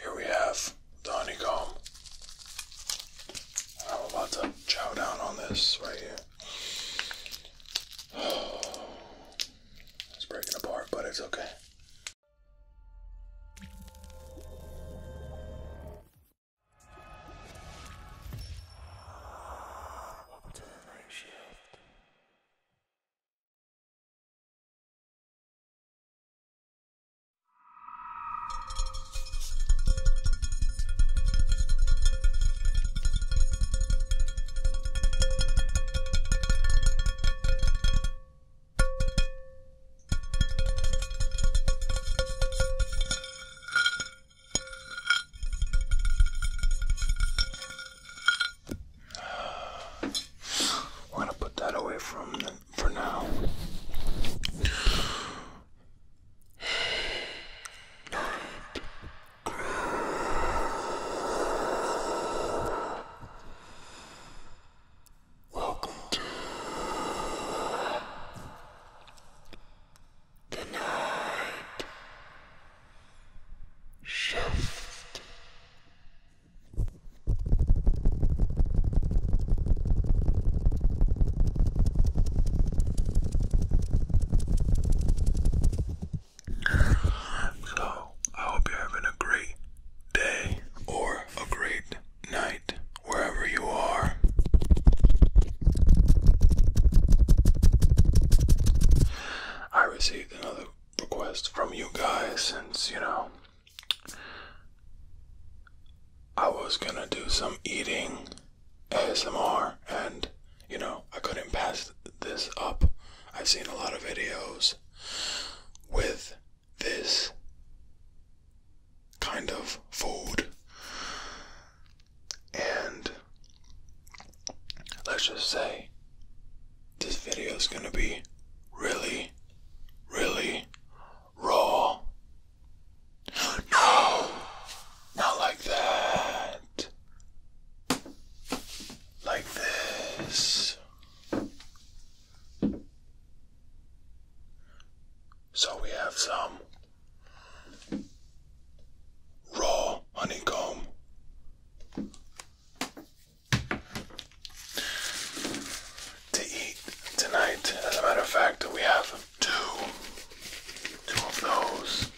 Here we have the honeycomb. I'm about to chow down on this right here. it's breaking apart, but it's okay. Welcome to the night shift. We're gonna put that away from the for now. Welcome to the night shift. So, I hope you're having a great day or a great night wherever you are. I received another request from you guys since, you know, I was gonna do some eating ASMR, and you know, I couldn't pass this up. I've seen a lot of videos with this kind of food, and let's just say this video is gonna be really, really raw. No, not like that. Like this. So we have some raw honeycomb to eat tonight. As a matter of fact, we have two, two of those.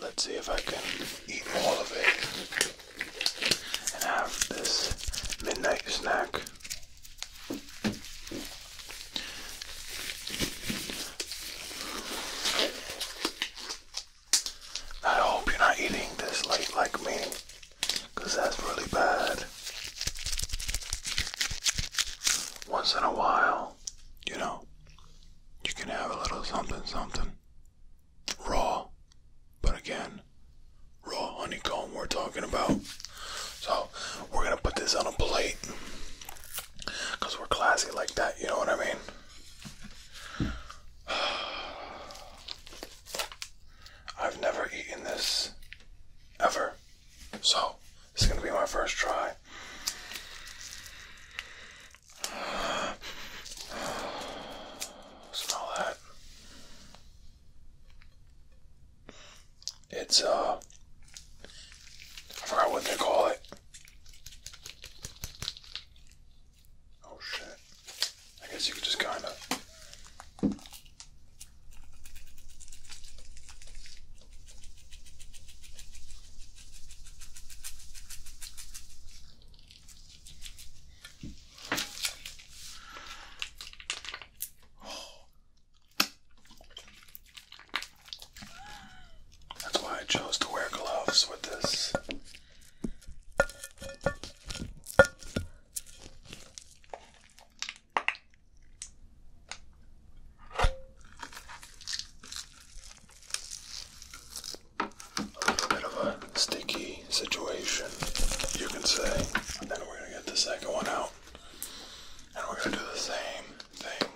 Let's see if I can eat all of it and have this midnight snack. I hope you're not eating this late like me. Because that's really bad. Once in a while, you know, you can have a little something something. Raw. But again, raw honeycomb we're talking about. So we're going to put this on a plate. Because we're classy like that, you know what I mean? I've never eaten this ever. So, it's going to be my first try. smell that. It's, uh, I forgot what they call it. Oh shit. I guess you could just kind of. That's why I chose to wear gloves with this. A little bit of a sticky situation, you can say. And then we're gonna get the second one out. And we're gonna do the same thing.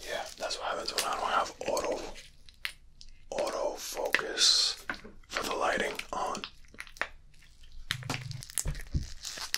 Yeah, that's what happens when I don't have auto auto focus for the lighting on.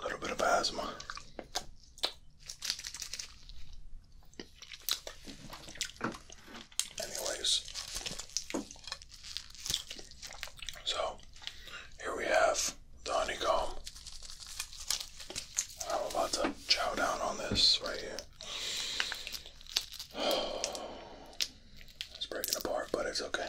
a little bit of asthma. Anyways, so here we have the honeycomb. I'm about to chow down on this right here. it's breaking apart, but it's okay.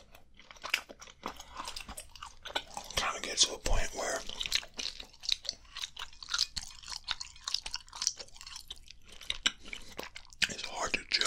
kind of get to a point where it's hard to chill.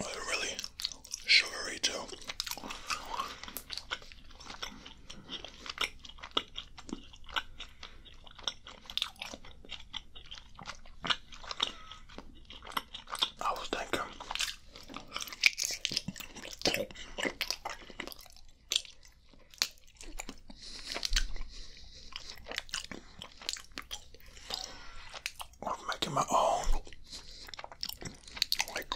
Oh, really sugary too. I was thinking I'm making my own. Like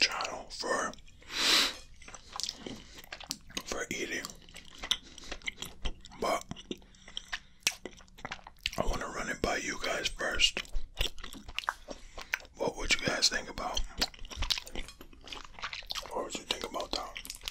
channel for for eating, but I want to run it by you guys first. What would you guys think about? What would you think about that?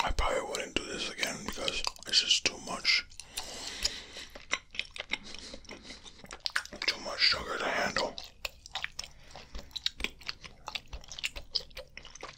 I probably wouldn't do this again because this is too much. Too much sugar to handle.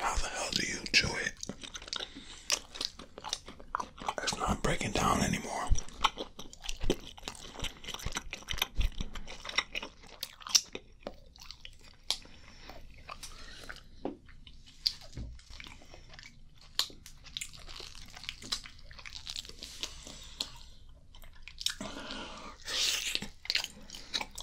how the hell do you chew it? It's not breaking down anymore.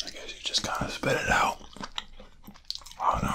I guess you just kind of spit it out. Oh no.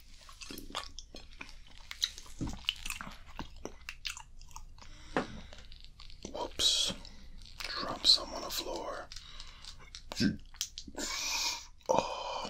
Whoops. Drop some on the floor. Oh.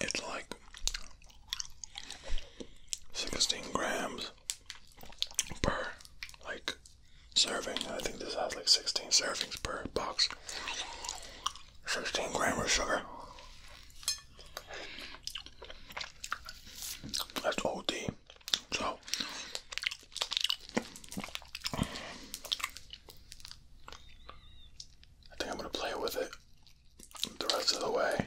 It's like 16 grams per like serving. I think this has like 16 servings per box. 16 grams of sugar. That's OD. So I think I'm gonna play with it the rest of the way.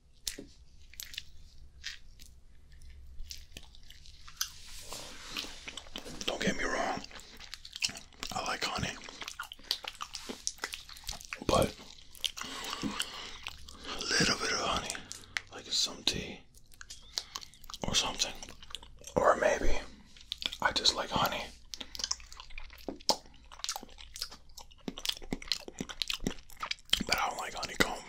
Don't get me wrong, I like honey, but a little bit of honey, like some tea or something, or maybe I just like honey. But I don't like honeycomb.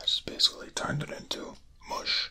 This basically turned it into mush.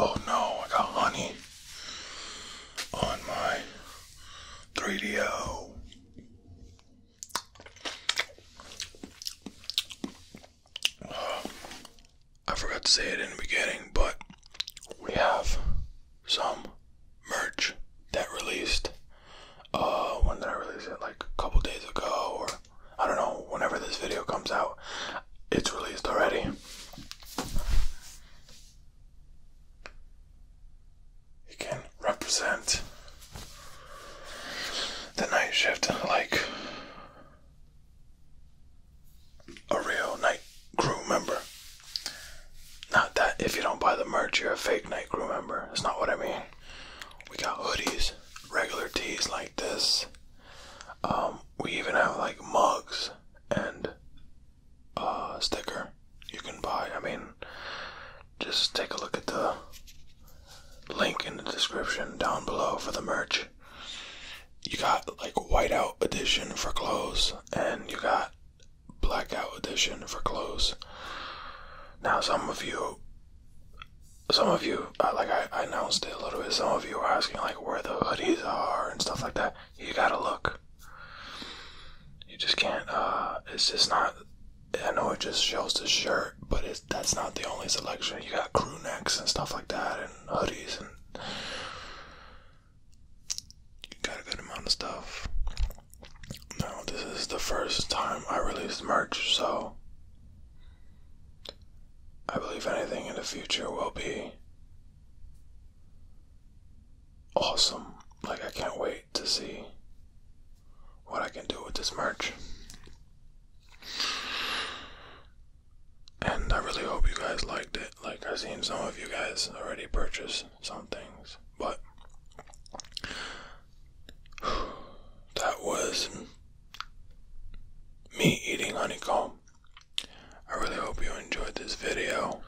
Oh no, I got honey on my 3DO. I forgot to say it in the beginning, but we have some merch that released. Uh, when did I release it? Like a couple days ago, or I don't know. Whenever this video comes out, it's released already. It can represent the night shift like a real night crew member. Not that if you don't buy the merch, you're a fake night crew member. It's not what I mean. We got hoodies, regular tees like this. Um, we even have like mugs and uh sticker you can buy. I mean, just take a look at the link in the description down below for the merch. You got like whiteout edition for clothes, and you got blackout edition for clothes. Now, some of you, some of you, uh, like I, I announced it a little bit, some of you are asking, like, where the hoodies are and stuff like that. You gotta look. You just can't, uh, it's just not, I know it just shows the shirt, but it's, that's not the only selection. You got crew necks and stuff like that, and hoodies, and you got a good amount of stuff. Now, this is the first time I released merch, so I believe anything in the future will be awesome. Like, I can't wait to see what I can do with this merch. And I really hope you guys liked it. Like, I've seen some of you guys already purchase some things, but that was me eating honeycomb. I really hope you enjoyed this video.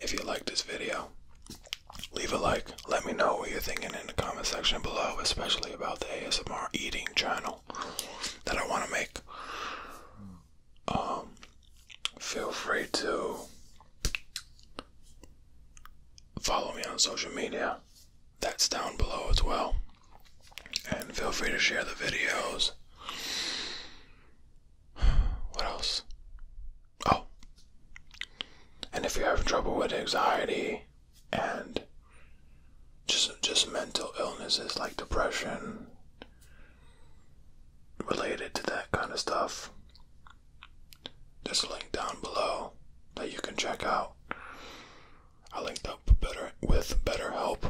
If you liked this video, leave a like. Let me know what you're thinking in the comment section below, especially about the ASMR eating channel that I want to make. Um, feel free to Follow me on social media, that's down below as well. And feel free to share the videos. What else? Oh. And if you're having trouble with anxiety and just just mental illnesses like depression related to that kind of stuff, this link down below that you can check out. I linked up better with Better Help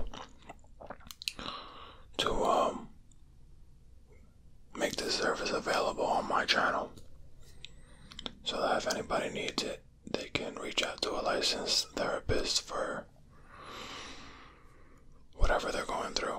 to um, make this service available on my channel, so that if anybody needs it, they can reach out to a licensed therapist for whatever they're going through.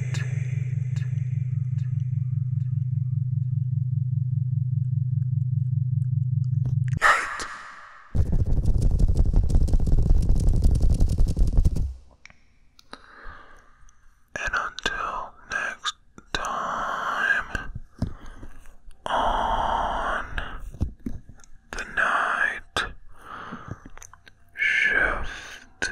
And until next time on the night shift.